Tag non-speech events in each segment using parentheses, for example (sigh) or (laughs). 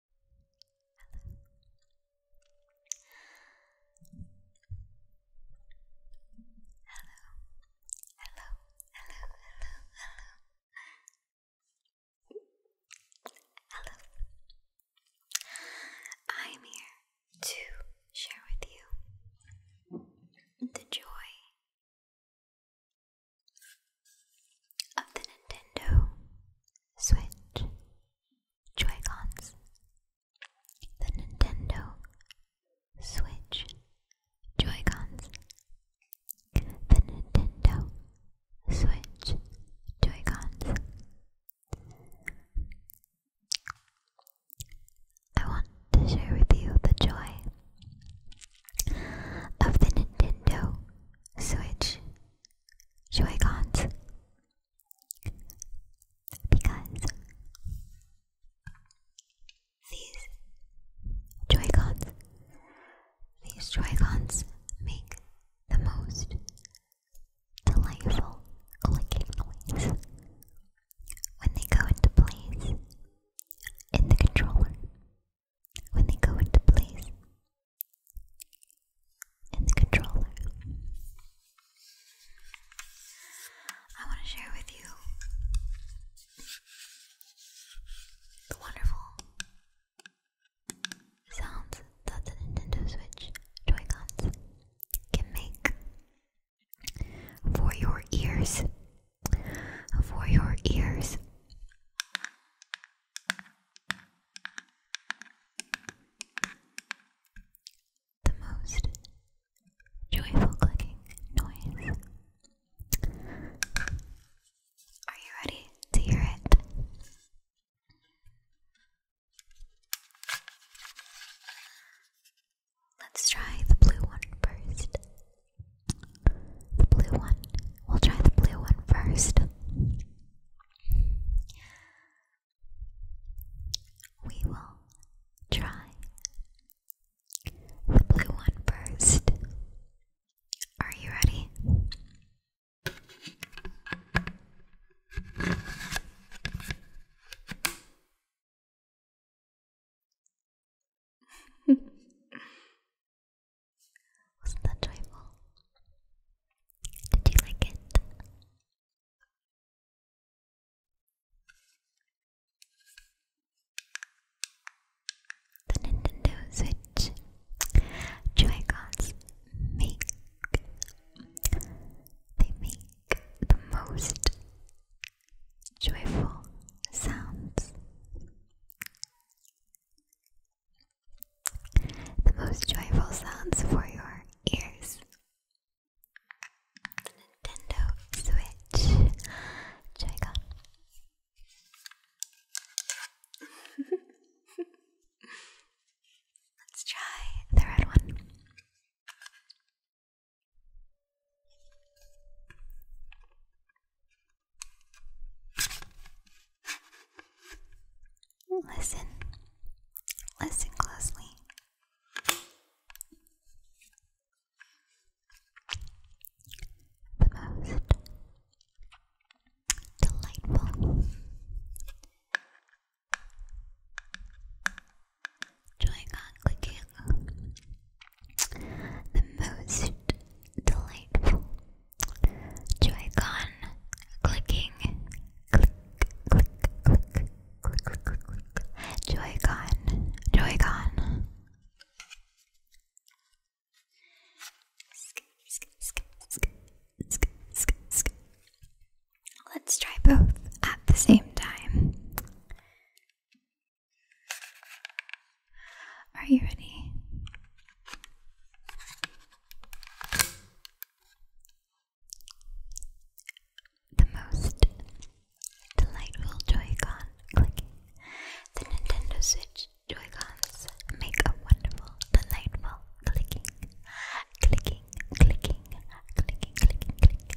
Hello. Hello. Hello. Hello. Hello. Hello. I'm here to share with you the joy of the Nintendo Switch joy The Nintendo Switch joy The Nintendo Switch joy I want to share with you the joy of the Nintendo Switch Joycons, because these joy these joy make the most delightful clicking noises when they go into place in the controller. When they go into place in the controller. I want to share with you the wonderful sounds that the Nintendo Switch Joy-Cons can make for your ears. For your ears. The most joyful clicking noise. Are you ready to hear it? Let's try the blue one first. The blue one. We'll try the blue one first. We will try the blue one first. Are you ready? (laughs) Wasn't that joyful? Did you like it? The Nintendo Switch joy make they make the most joyful sounds. The most joyful sounds for your ears. Nintendo Switch. Joy-Con. (laughs) Let's try the red one. Listen, listen closely. The most delightful, joy on clicking the most delightful joy clicking, click, click, click, click, click, click, click, Joy-Con, Let's try both at the same time. Are you ready? The most delightful Joy-Con clicking. The Nintendo Switch Joy-Cons make a wonderful, delightful clicking. Clicking, clicking, clicking, clicking, clicking, clicking, clicking,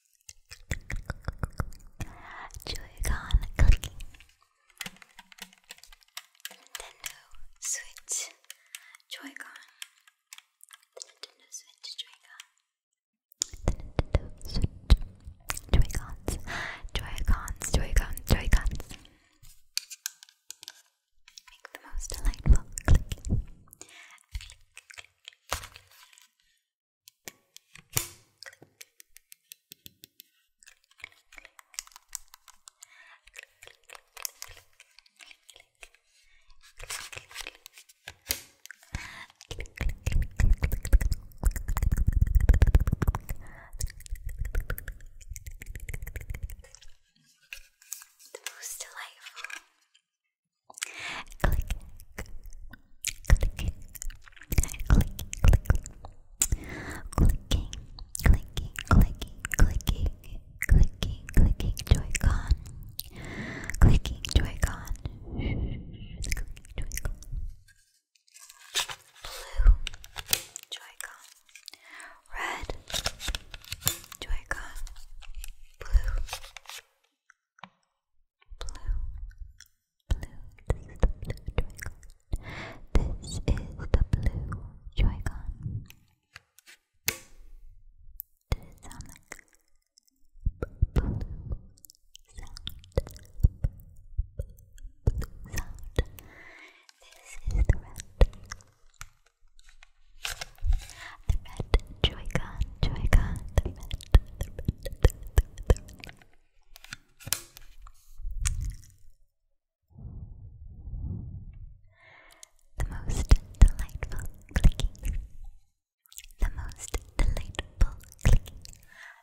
Joycon con cooking. Nintendo Switch joy The Nintendo Switch joy The Nintendo Switch Joy-Cons. Joy-Cons, joy Make the most delightful clicking. The most delightful Click, clicking, clicking, clicking, clicking, clicking, clicking, clicking, clicking, Joy-Con, clicking, Joy-Con, clicking, Joy-Con, blue, Joy-Con, red, Joy-Con, blue blue, blue, this is the blue joy This is the blue joy Does it sound like sound? sound. This is the red. The red Joy-Con, Joy-Con, the red, the red, the most delightful clicking. The most delightful clicking.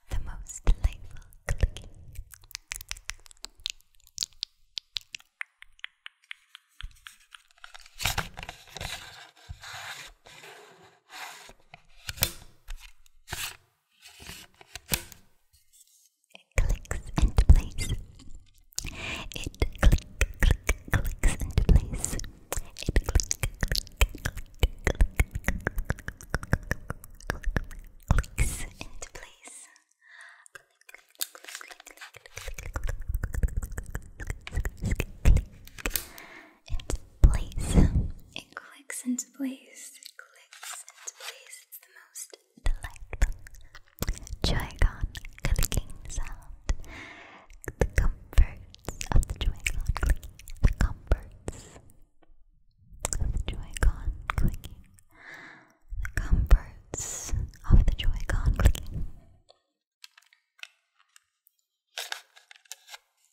The most delightful clicking clicks into place. It click, click, clicks into place. It click, click, click, click, clicks into place. Click, click, click, into place. It clicks into place. clicks into place. It's the most delightful joy clicking sound. The comforts of the joy clicking. The comforts of the joy clicking. The comforts of the joy clicking.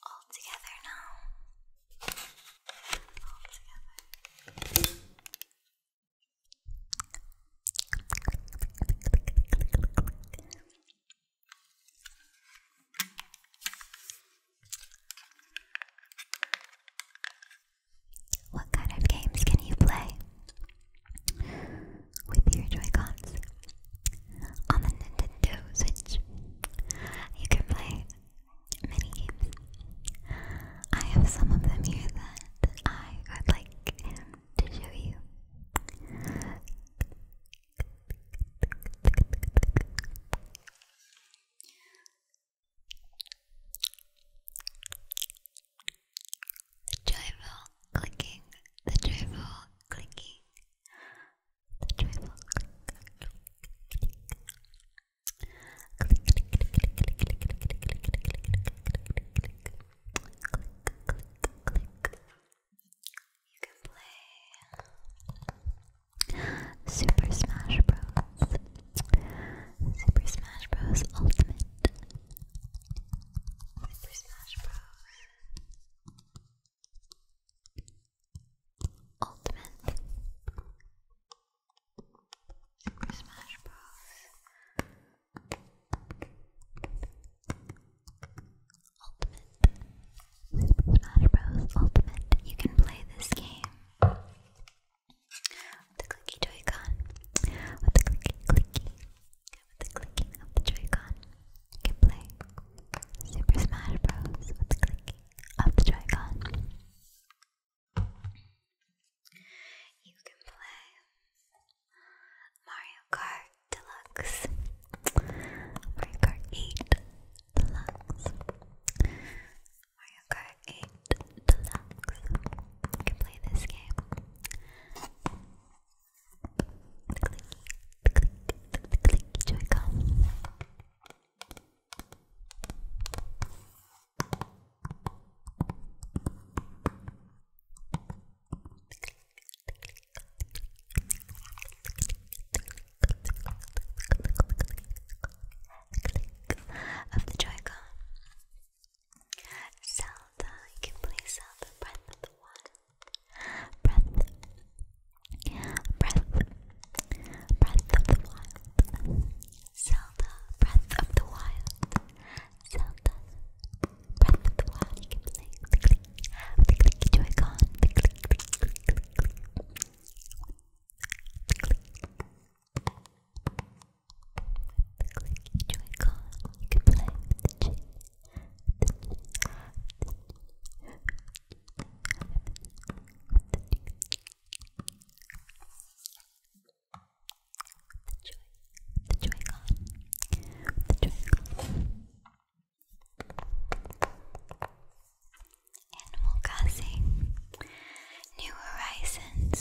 All together now. What kind of games can you play? with your Joy-Cons. On the Nintendo Switch, you can play many games. I have some of them here that I would like to show you. The joyful clicking, the joyful clicking, the joyful click, click, click, click, click, click, click, click, click, click, click, click. You can play Super Smash Bros. Super Smash Bros. Ultimate. Super Smash Bros. Ultimate. Super Smash Bros. Ultimate. Super Smash Bros. Ultimate. You can play this game with the clicky Joy-Con, with the clicky clicky, with the clicking of the Joy-Con, you can play Super Smash Bros. with the clicky of the Joy-Con. You can play Mario Kart Deluxe, Mario Kart 8 Deluxe, Mario Kart 8 Deluxe. can play this game. The Of the Joy-Con. Zelda, you can play Zelda Breath of the Wild. Breath, breath, breath of the wild. Zelda, breath of the wild. Zelda, breath of the wild. You can play the click, the click Joy-Con, the click, the click, the click, the click, the click, the joy-con you can play with the chin, the chin, the the joy-con, the joy-con Animal Crossing New Horizons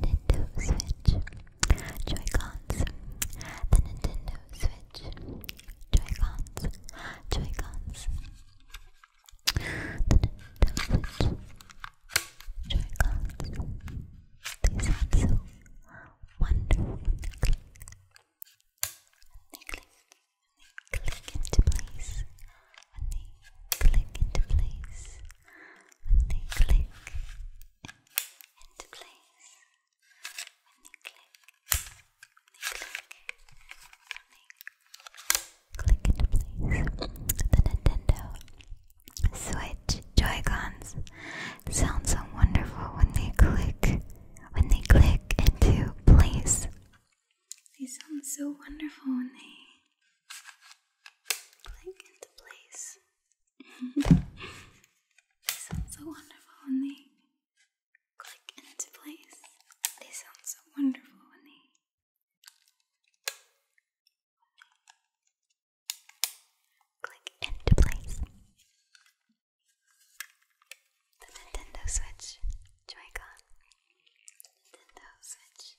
Nintendo Switch Joy-Cons, the Nintendo Switch, Joy-Cons, the Nintendo Switch, joy They sound so wonderful they click. They click, into place. they click into place. they click into place when they click, when they click, when they click into place. The Nintendo Switch joy sound so wonderful when they click, when they click into place. They sound so wonderful when they click into place they sound so wonderful when they click into place. They sound so wonderful when they. Click into place. The Nintendo Switch Joy-Con. Nintendo Switch.